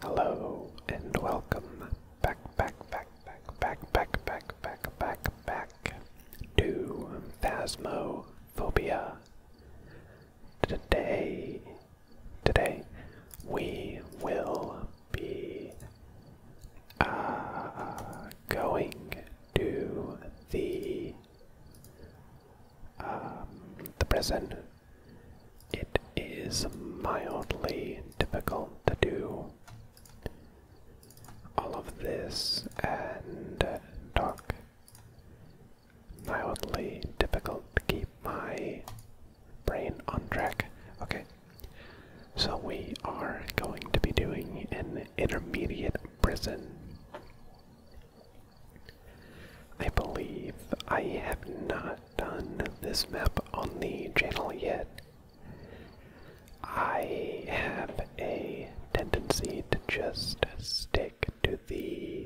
Hello and welcome back, back, back, back, back, back, back, back, back, back to Phasmophobia today today we will be uh, going to the um, the prison. It is mildly difficult to do all of this and uh, talk mildly difficult to keep my brain on track. Okay, so we are going to be doing an intermediate prison. I believe I have not done this map on the channel yet. I have a tendency to just stick to the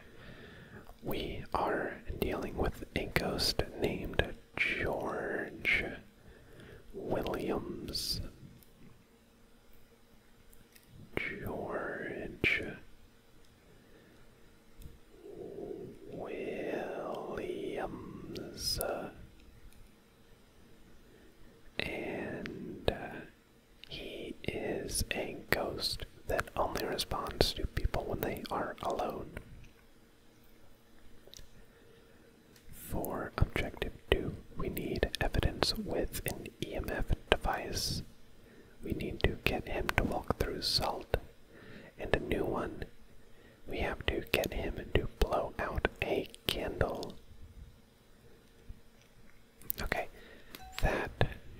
We are dealing with a ghost named George Williams. George Williams. And he is a ghost that only responds to people when they are alone. For objective 2, we need evidence with an EMF device. We need to get him to walk through salt. And a new one, we have to get him to blow out a candle. Okay, that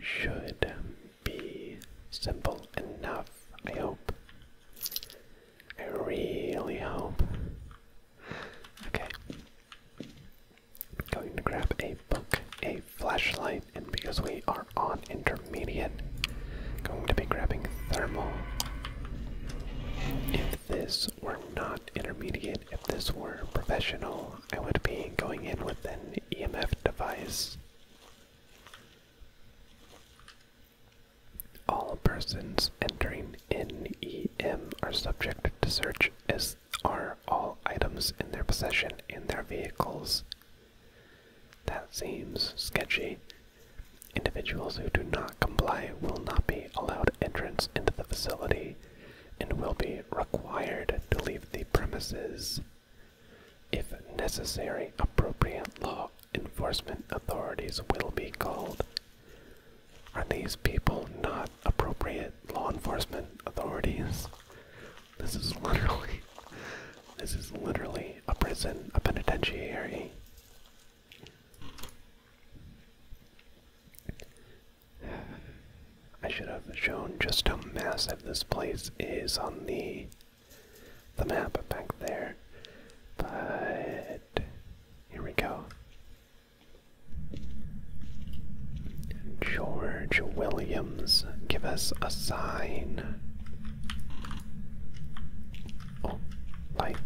should be simple enough, I hope. I really hope. Okay. Going to grab a book, a flashlight, and because we are on intermediate, going to be grabbing thermal. If this were not intermediate, if this were professional, I would be going in with an EMF device all persons entering NEM are subject to search, as are all items in their possession and their vehicles. That seems sketchy. Individuals who do not comply will not be allowed entrance into the facility and will be required to leave the premises. If necessary, appropriate law enforcement authorities will be called. Are these people not appropriate law enforcement authorities? This is literally this is literally a prison, a penitentiary. I should have shown just how massive this place is on the the map back there. But here we go. George Williams, give us a sign. Oh, light.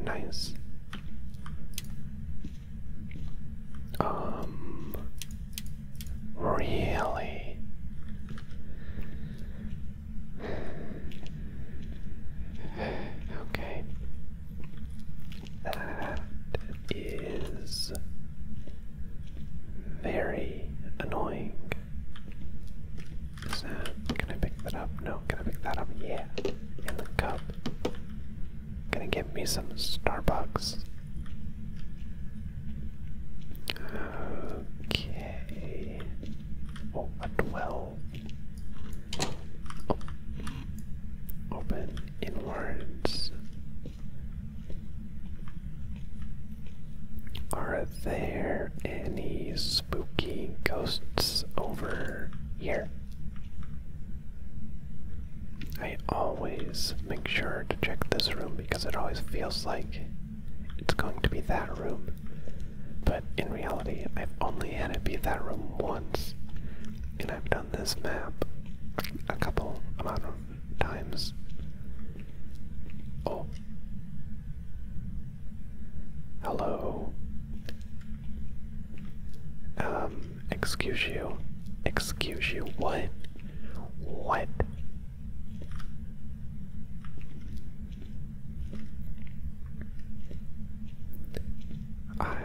Nice. Um Really? Okay. That is very annoying. can I pick that up? No, can I pick that up? Yeah. In the cup. Gonna get me some Starbucks. Okay. Oh, a oh. Open inwards. Are there any spooky ghosts over here? I always make sure to check this room because it always feels like it's going to be that room. But in reality, I've only had it be that room once, and I've done this map a couple amount of times. Oh. Hello. Um, excuse you. Excuse you. What? What? I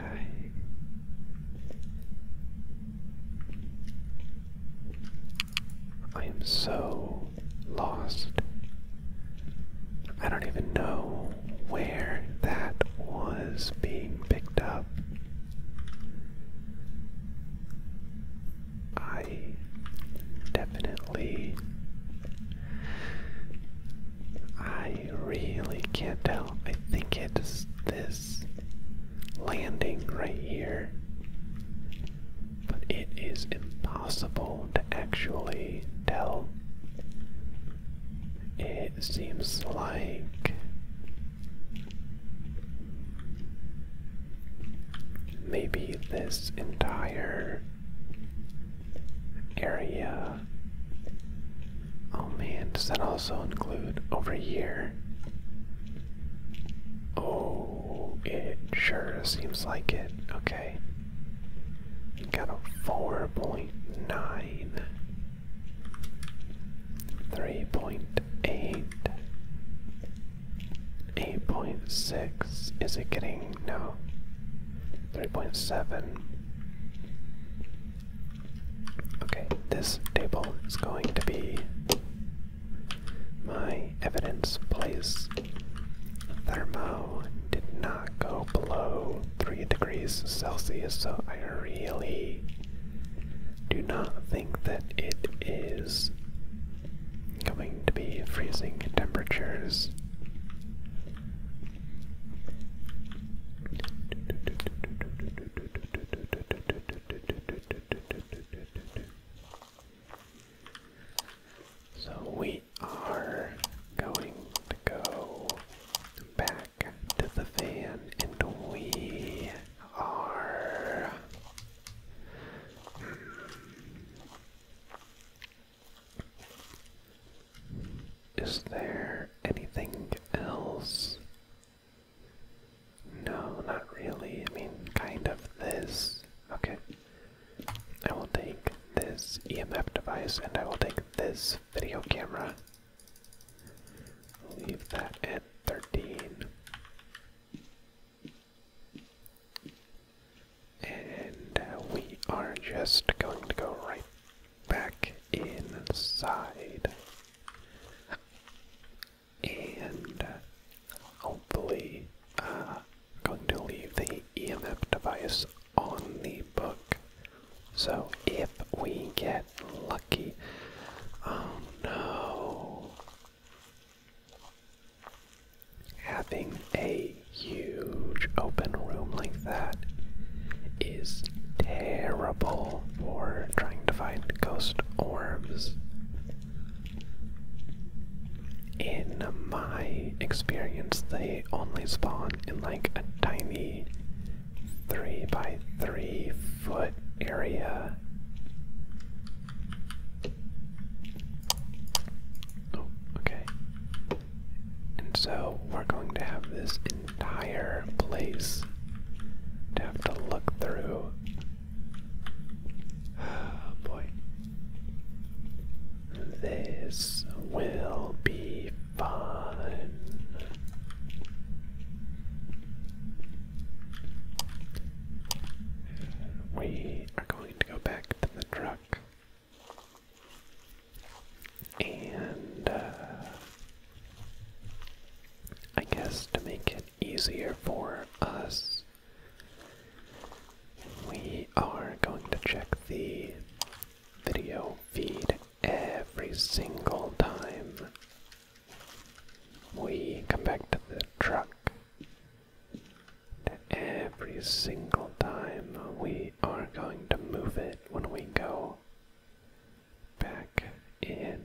I am so lost. I don't even know where that was being picked up. I definitely. I really can't tell. I think it's this landing right here. But it is impossible to actually tell. It seems like Maybe this entire area. Oh man, does that also include over here? Oh, it sure seems like it. Okay. Got a 4.9, 8.6. Is it getting. No. 3.7. Okay, this table is going to be my evidence place. Thermo did not go below 3 degrees Celsius, so I really do not think that it is going to be freezing temperatures. So we are going to go back to the van and we are is there anything else? No, not really. I mean, kind of this. Okay. I will take this EMF device and I will take this video camera. Leave that at 13. And uh, we are just going to go right back inside. And uh, hopefully, uh, going to leave the EMF device on the book. So if we get lucky, oh no, Having a huge open room like that is terrible for trying to find ghost orbs. In my experience, they only spawn in like a tiny 3 by 3 foot area Oh, okay. And so we're going to have this entire place to have to look through. Oh boy. This will be fun we are going to go back to the truck and uh, I guess to make it easier for us, we are going to check the video feed every single time we come back to the truck. Every single time we are going to move it when we go back in.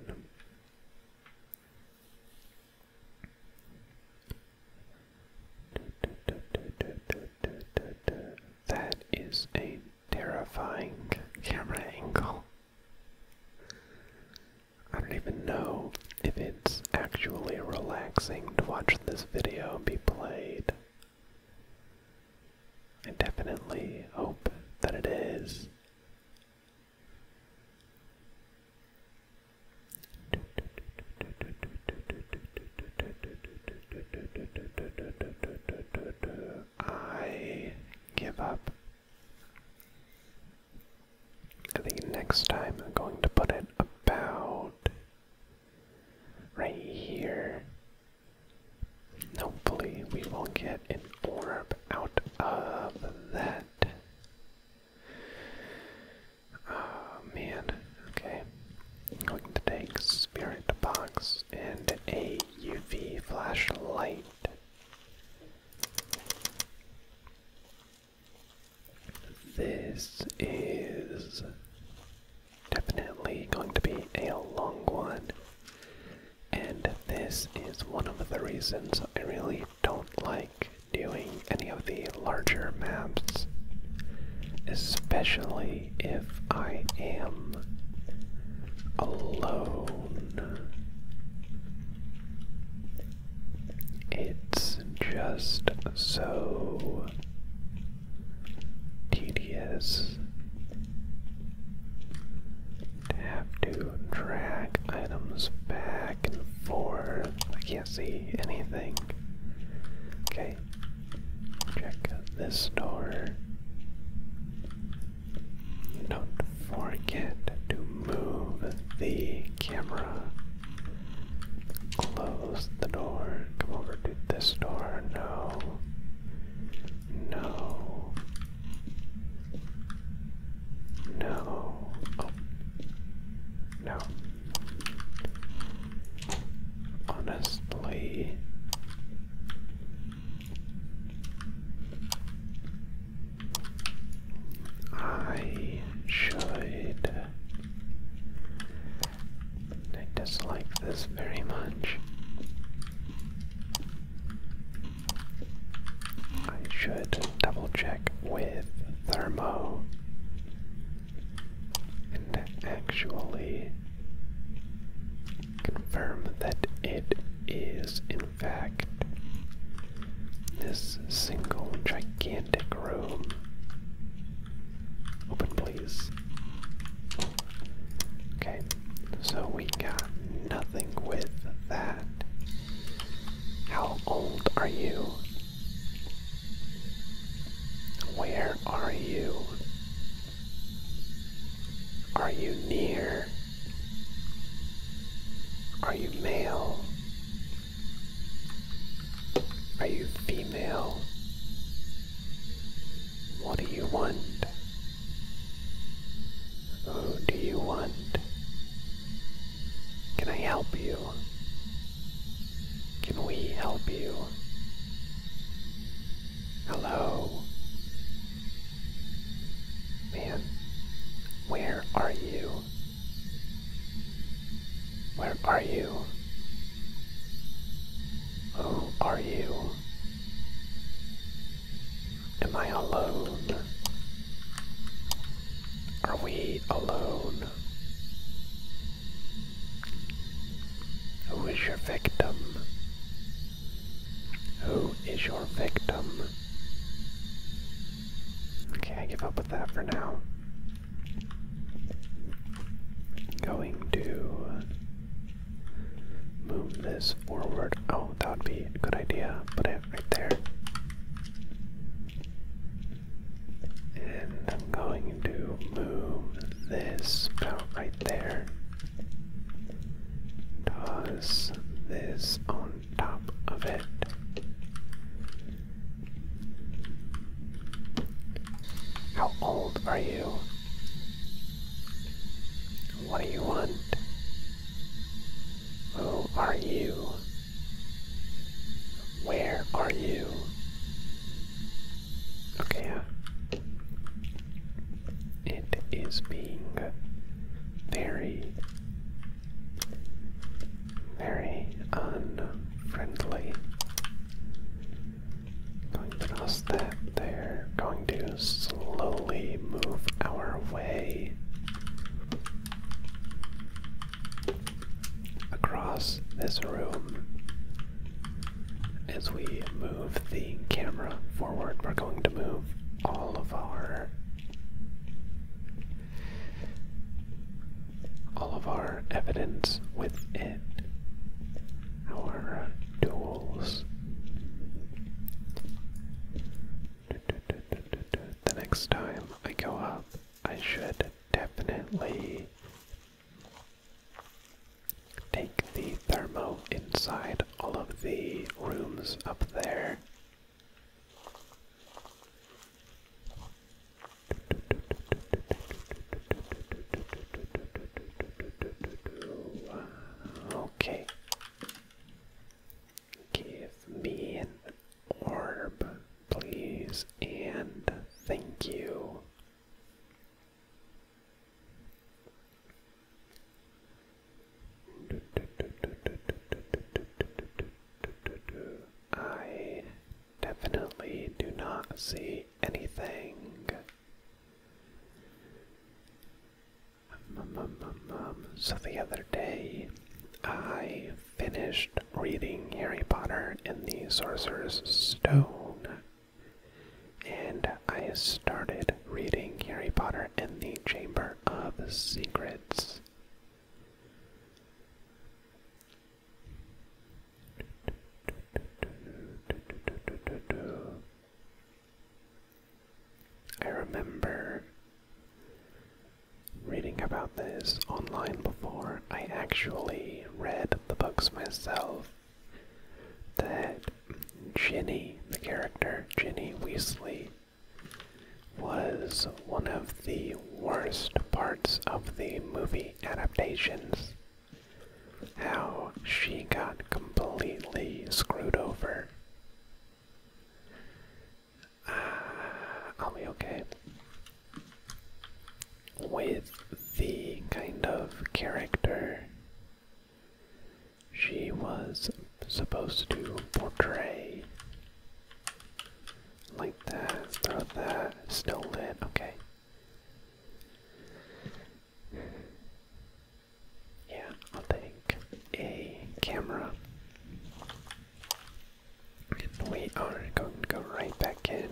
That is a terrifying camera angle. I don't even know if it's actually relaxing to watch this video be played. I definitely hope that it is. I give up I think next time I'm going to put it about right here. Hopefully, we will get an orb out of that. Oh man, okay. I'm going to take Spirit Box and a UV flashlight. This is definitely going to be a long one, and this is one of the reasons I really don't like doing any of the larger maps, especially if I am alone. It's just so tedious to have to drag items back and forth. I can't see anything. Okay, check this door. Don't forget to move the camera. Close the door. Come over to this door. No. No. No. Oh. No. Honestly. I should. I dislike this very much. I should double check with Thermo and actually confirm that it is in fact, this single gigantic room. Open, please. Okay, so we got nothing with that. How old are you? Where are you? Are you near? Are you male? Are you female? What do you want? Who do you want? Can I help you? Can we help you? Hello? Man, where are you? Where are you? Who are you? Am I alone? Are we alone? Who is your victim? Who is your victim? Okay, I give up with that for now. Going to move this forward. Oh, that would be a good idea. Put it right there. And I'm going to move this about right there. Toss this on top of it. How old are you? What do you want? Who are you? Where are you? Okay, it is being very very unfriendly. Going to toss that there. Going to slowly move our way across this room. As we move the camera forward, we're going to move all of our all of our evidence within our uh, duels. The next time I go up, I should definitely take the thermo inside all of the rooms up there Okay. Give me an orb, please, and thank you. I definitely do not see anything. So the other day, I finished reading Harry Potter and the Sorcerer's Stone, and I started reading Harry Potter and the Chamber of Secrets. I remember reading about this online before. I actually read the books myself. That Ginny, the character, Ginny Weasley, was one of the worst parts of the movie adaptations. How she got completely screwed over. Uh, I'll be okay. With the kind of character she was supposed to portray, like that, throw that, Still it, okay. Yeah, I'll take a camera. And we are going to go right back in.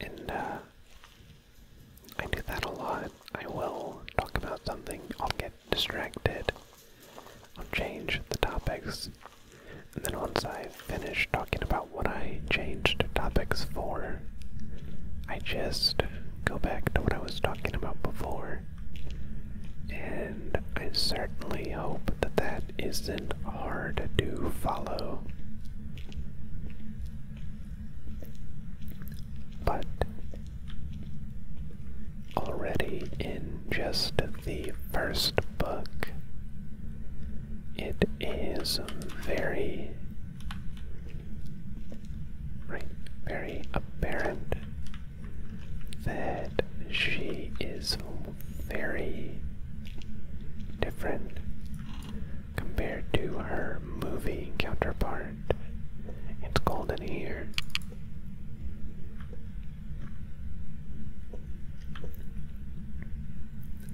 And uh, I do that a lot. I will talk about something, I'll get distracted. I'll change the topics. And then once I finish talking about what I changed topics for, I just go back to what I was talking about before. And I certainly hope that that isn't hard to follow. But Already in just the first book, it is very, right, very apparent that she is very different compared to her movie counterpart. It's golden here.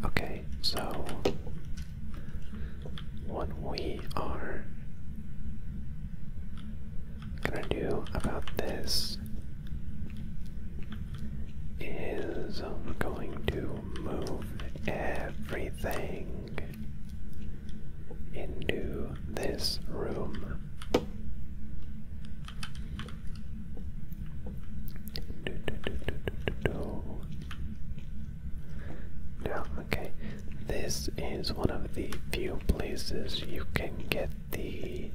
Okay, so what we are gonna do about this is I'm going to move everything into this room. Now, okay, this is one of the few places you can get the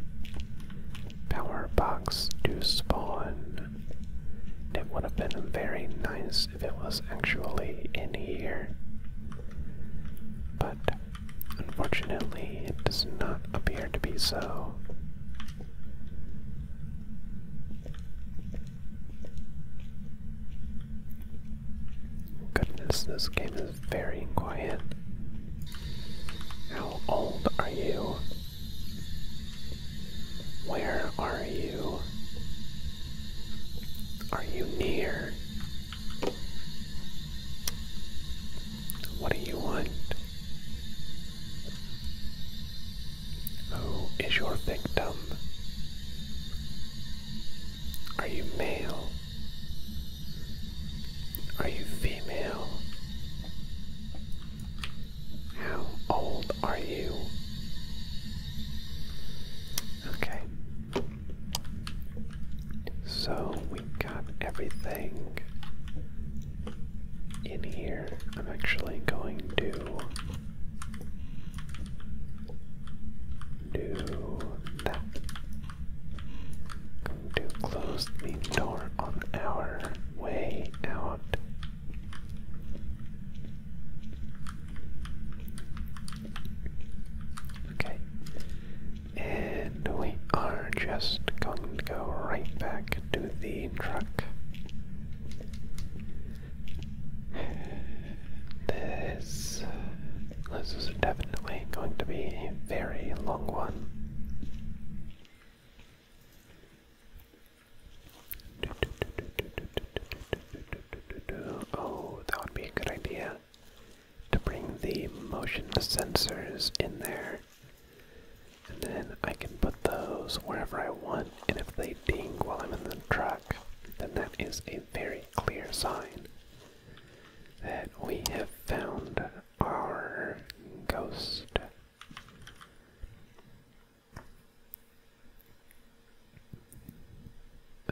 power box to spawn. It would have been very nice if it was actually in here. But Unfortunately, it does not appear to be so. Goodness, this game is very quiet. How old are you? Where are you? Are you near? What do you want? Who is your victim? Are you male? Are you female? How old are you? Okay, so we have got everything in here. I'm actually going to do that. to close the door on our way out. Okay. And we are just going to go right back to the truck. This, this is definitely going to be a very long one. Oh, that would be a good idea to bring the motion sensors in there. And then I can put those wherever I want, and if they ding while I'm in the truck, then that is a very clear sign that we have found our ghost. Uh,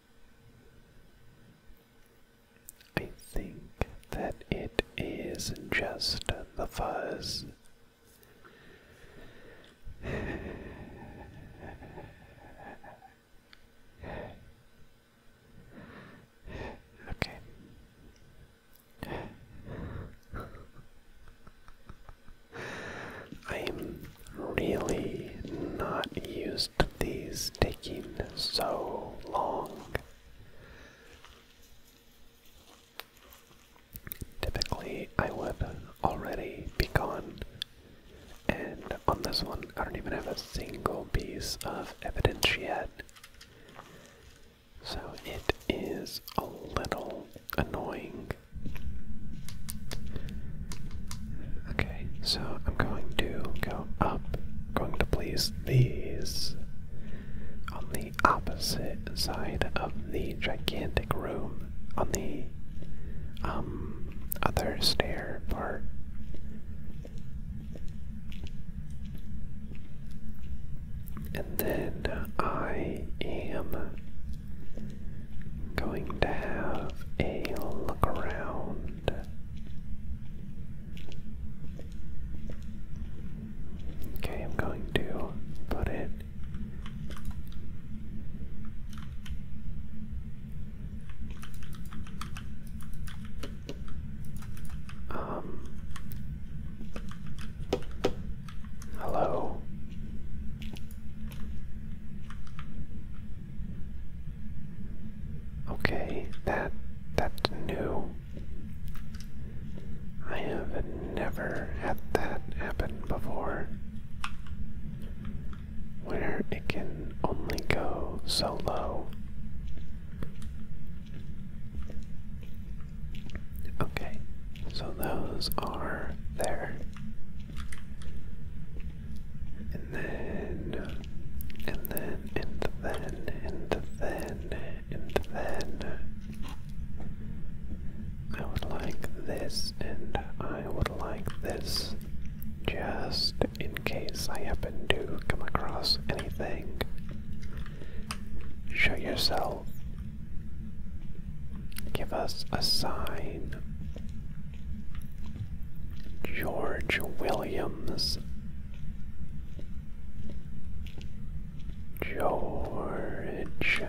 I think that it is just the fuzz. Okay. I'm really not used to these taking so long. Typically, I would already be gone. And on this one, I don't even have a single piece of evidence yet. So it is a little annoying. Okay, so I'm going to go up. I'm going to place these on the opposite side of the gigantic room, on the um, other stair part. And then I am Going to have a look around. Okay, I'm going to put it um hello Okay, that that new. I have never had that happen before. Where it can only go so low. Okay, so those are there and then, and then, and then, and then, and then. I would like this, and I would like this, just in case I happen to come across anything. Show yourself. Give us a sign. George Williams, George,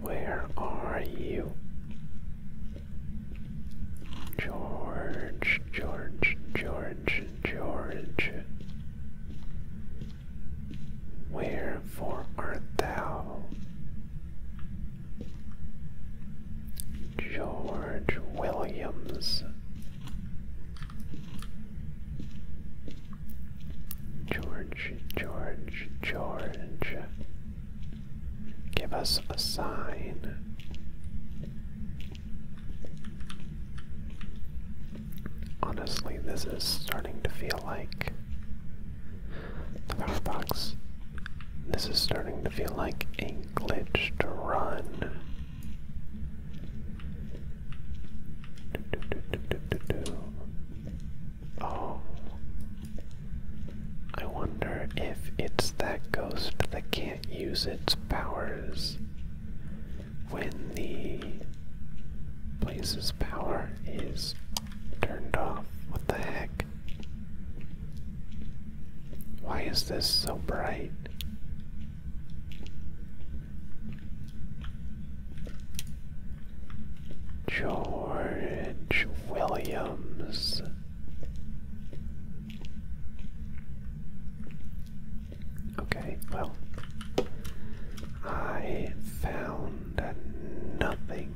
where are you? George, George, George, George, wherefore art thou? George Williams, George, George, George. Give us a sign. Honestly, this is starting to feel like the box. This is starting to feel like a glitch to run. Oh. I wonder if it's that ghost that can't use its powers when the place's power is Turned off. What the heck? Why is this so bright? George Williams. Okay, well, I found nothing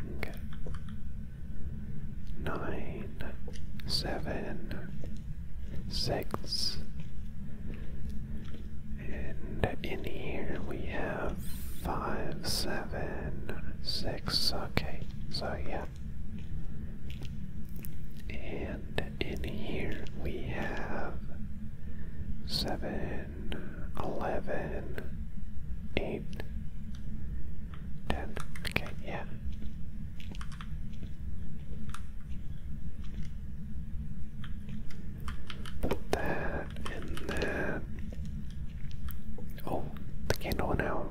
nine, seven, six, and in here we have five, seven, six. Okay, so yeah. And in here we have seven, eleven, eight, Ten. Okay, yeah. Put that in there. Oh, the candle went out.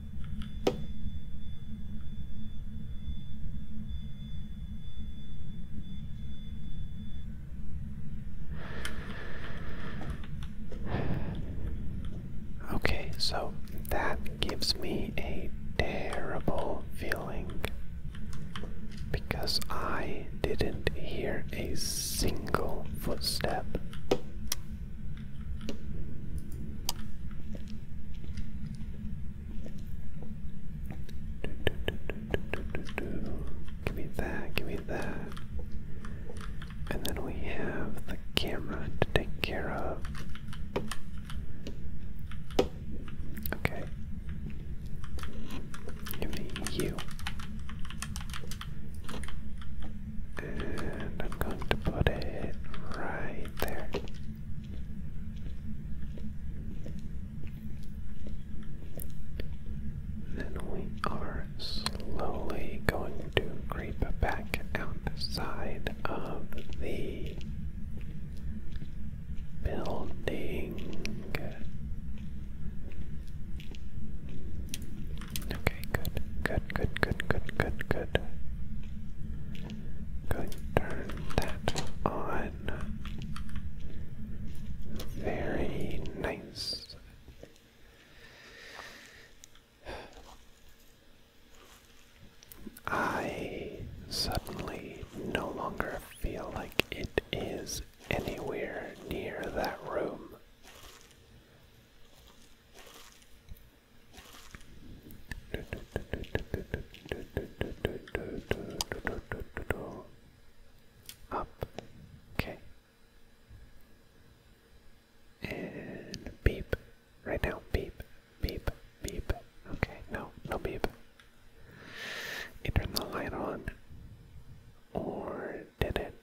Okay, so that gives me a terrible feeling because I didn't hear a single footstep. Give me that, give me that. And then we have the camera to take care of. Okay. Give me you. And I'm going to put it right there. Then we are slowly going to creep back outside of the building. Okay, good, good, good, good, good, good, good. Going turn that on. Very nice. I suddenly no longer feel like it is anywhere near that room. Up. Okay. And beep. Right now. Beep. Beep. Beep. Okay. No. No beep. It turned the light on. Or did it?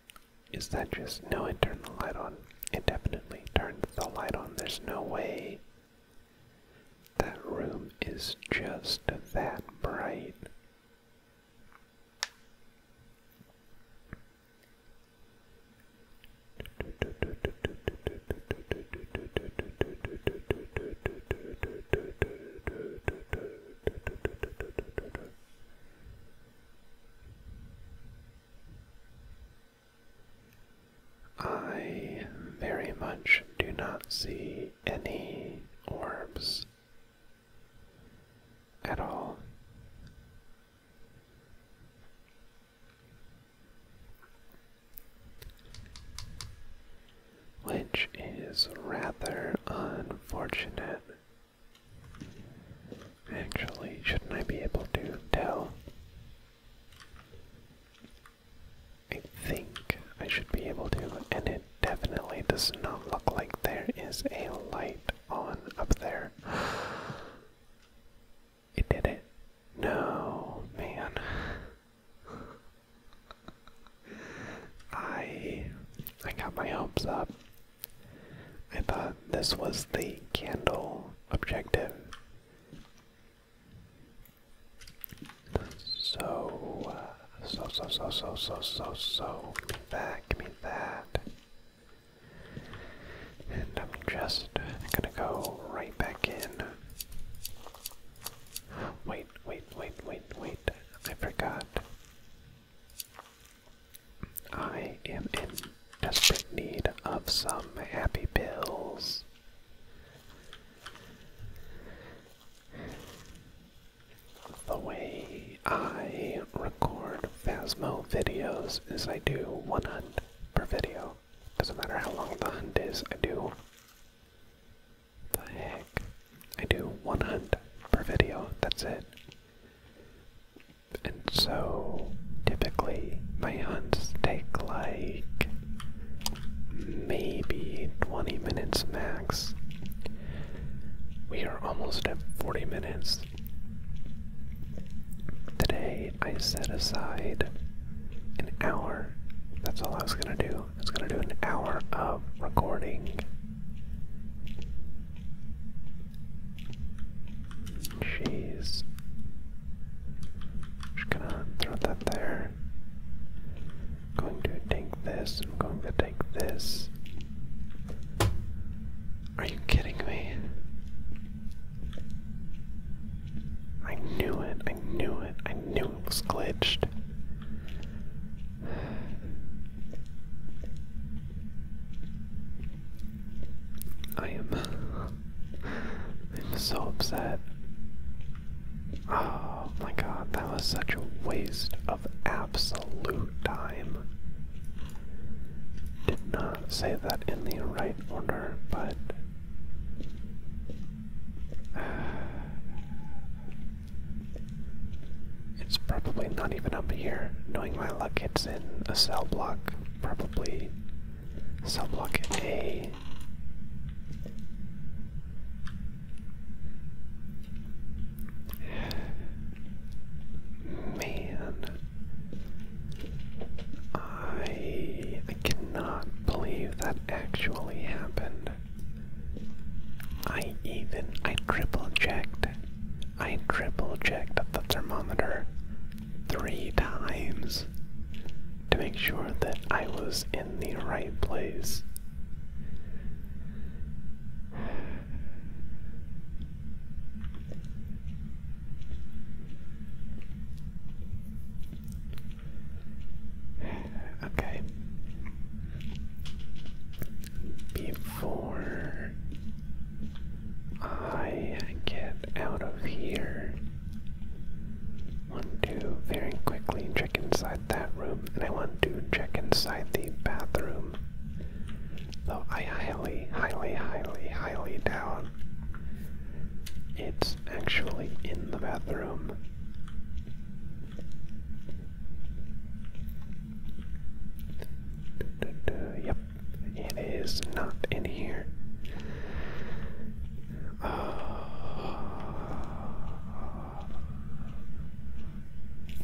Is that just. No, it turned the light on. It definitely turned the light on. There's no way that room is just that bright. I very much do not see any orbs at all. Which is rather unfortunate. Actually, shouldn't I be able to tell I think I should be able to, and it definitely does not look like there is a light on up there. It did it. No, man. I I got my hopes up. I thought this was the candle objective. So, uh, so, so, so, so, so, so, so, me that, give me that. And I'm just gonna go right back in. Wait, wait, wait, wait, wait. I forgot. I am in desperate need of some happy pills. The way I record Phasmo videos is I do one hunt per video. Doesn't matter how long the hunt is, I do. The heck? I do one hunt per video, that's it. And so, typically, my hunts take like maybe 20 minutes max. We are almost at 40 minutes. Today I set aside an hour. That's all I was gonna do. I was gonna do an hour of recording. Jeez. Just gonna throw I'm going to take this, I'm going to take this. Are you kidding me? I knew it, I knew it, I knew it was glitched. I am I'm so upset. Oh my god, that was such a waste of absolute time. Did not say that in the right order, but. It's probably not even up here. Knowing my luck, it's in a cell block, probably Cell block Man, I I cannot believe that actually happened. I even I triple checked. I triple checked the thermometer three times to make sure that I was in the right place. Okay. Before I get out of here, I want to very quickly check inside that room, and I want to check inside the bathroom. Though I highly, highly, highly, highly doubt it's actually in the bathroom. Yep, it is not in here.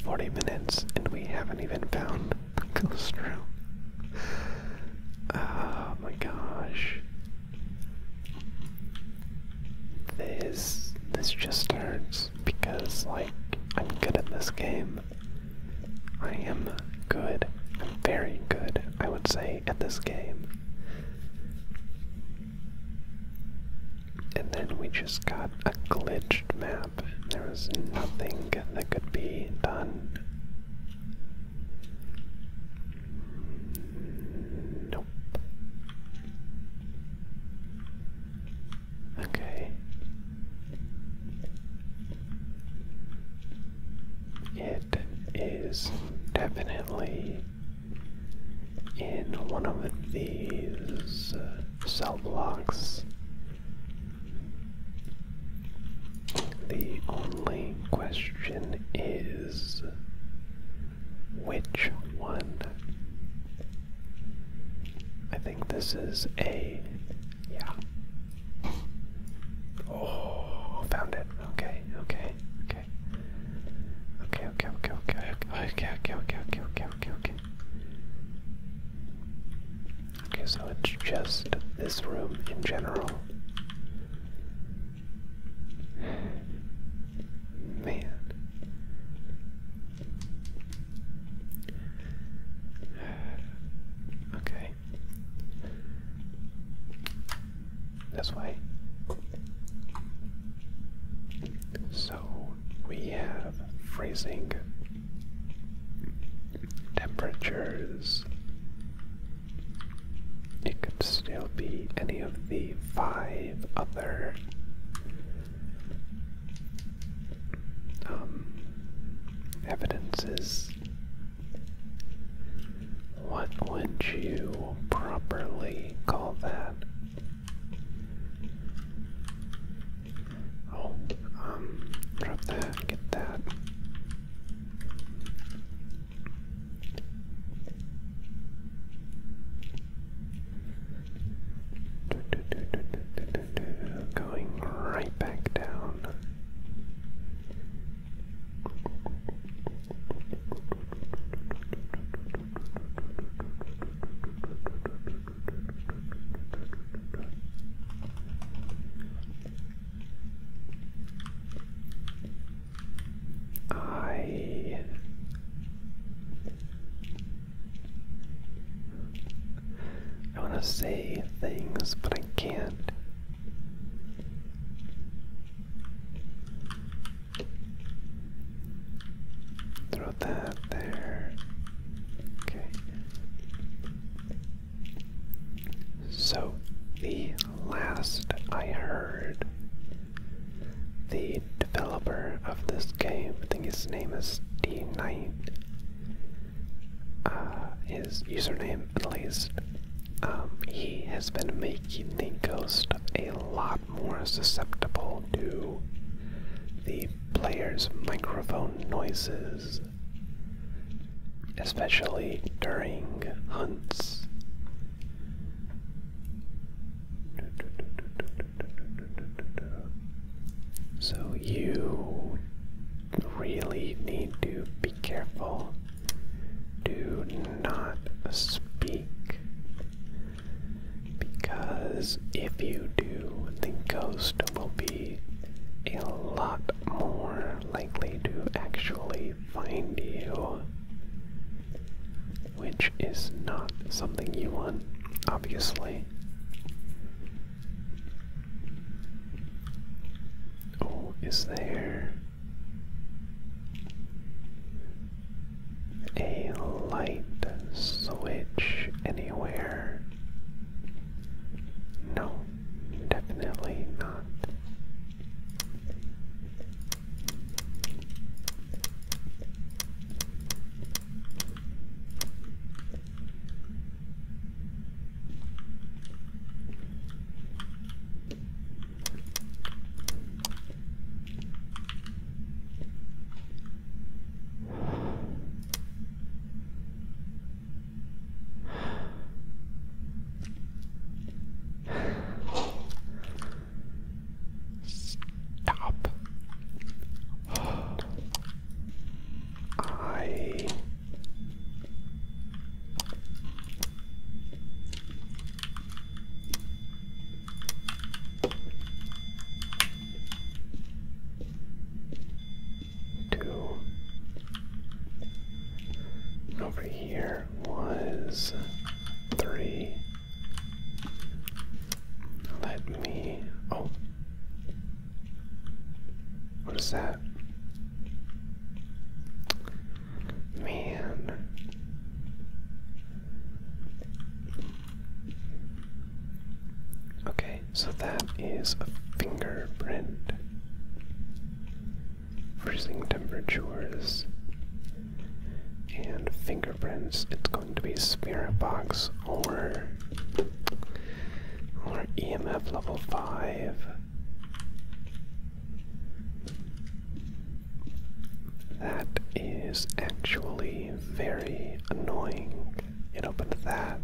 40 minutes and we haven't even found the ghost room. Oh my gosh. This this just hurts because like I'm good at this game. I am good. I'm very good, I would say, at this game. And then we just got a glitched map. There was nothing that could be done. Nope. Okay. It is definitely in one of these uh, cell blocks. The only question is which one? I think this is a. Yeah. Oh, found it. Okay, okay, okay okay. Okay, okay, okay, okay, okay, okay, okay, okay, okay, okay, okay. Okay, so it's just this room in general. Man. Okay. That's why. So we have freezing temperatures. It could still be any of the five other um, evidences. What would you properly call that? Oh, um, drop that, get that. Do, do, do, do, do, do, do, do. Going right back down. I I want to say things, but I can't. Throw that there. Okay. So, the last I heard, the developer of this game, I think his name is D Knight, uh, his username at least, um, he has been making the ghost a lot more susceptible to the player's microphone noises, especially during hunts. So you really need to be careful do not speak. Because if you do, the ghost will be a lot more likely to actually find you. Which is not something you want, obviously. Oh, is there a light switch anywhere? No, definitely not. Stop. I Two. over here was three. Let me. Oh. What is that? Man. Okay, so that is a fingerprint. Freezing temperatures and fingerprints. It's going to be spirit box or or EMF level five. That is actually very annoying. It opened that.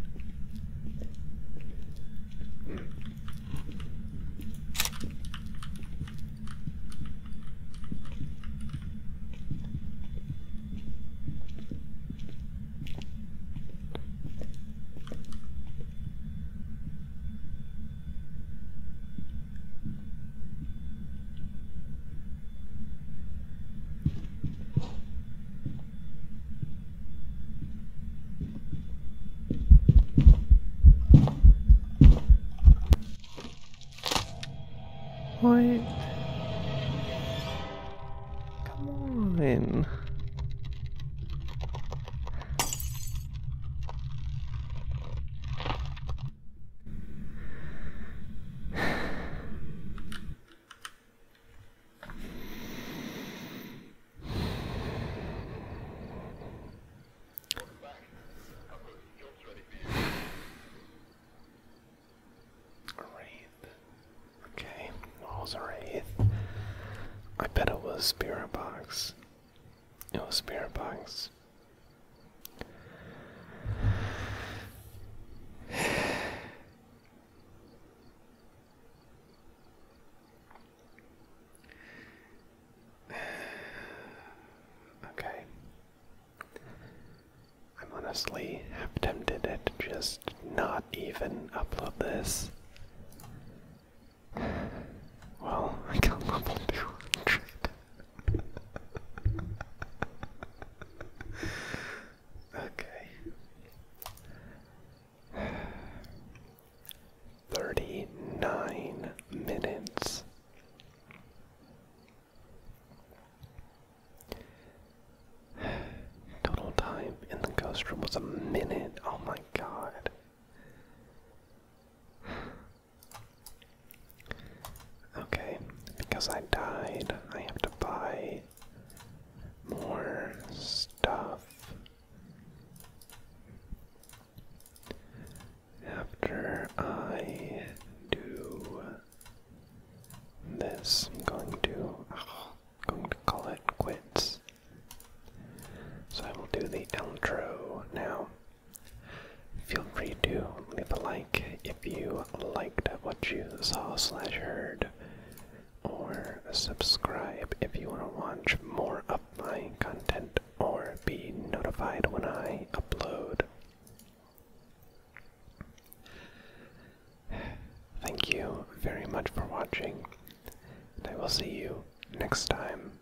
Wait. Come on. Wraith. Okay, what was a Wraith? I bet it was Spirit Box. You know, spirit box. okay. I'm honestly half tempted to just not even upload this. Well, I got level 200 okay. 39 minutes. Total time in the ghost room was a minute. Oh my god. Okay, because I died, I have to buy more stuff. After I do this, I'm going to going to call it quits. So I will do the outro now. Feel free to leave a like if you liked what you saw slash heard, or subscribe if you want to watch more of my content or be notified when I upload. Thank you very much for watching, and I will see you next time.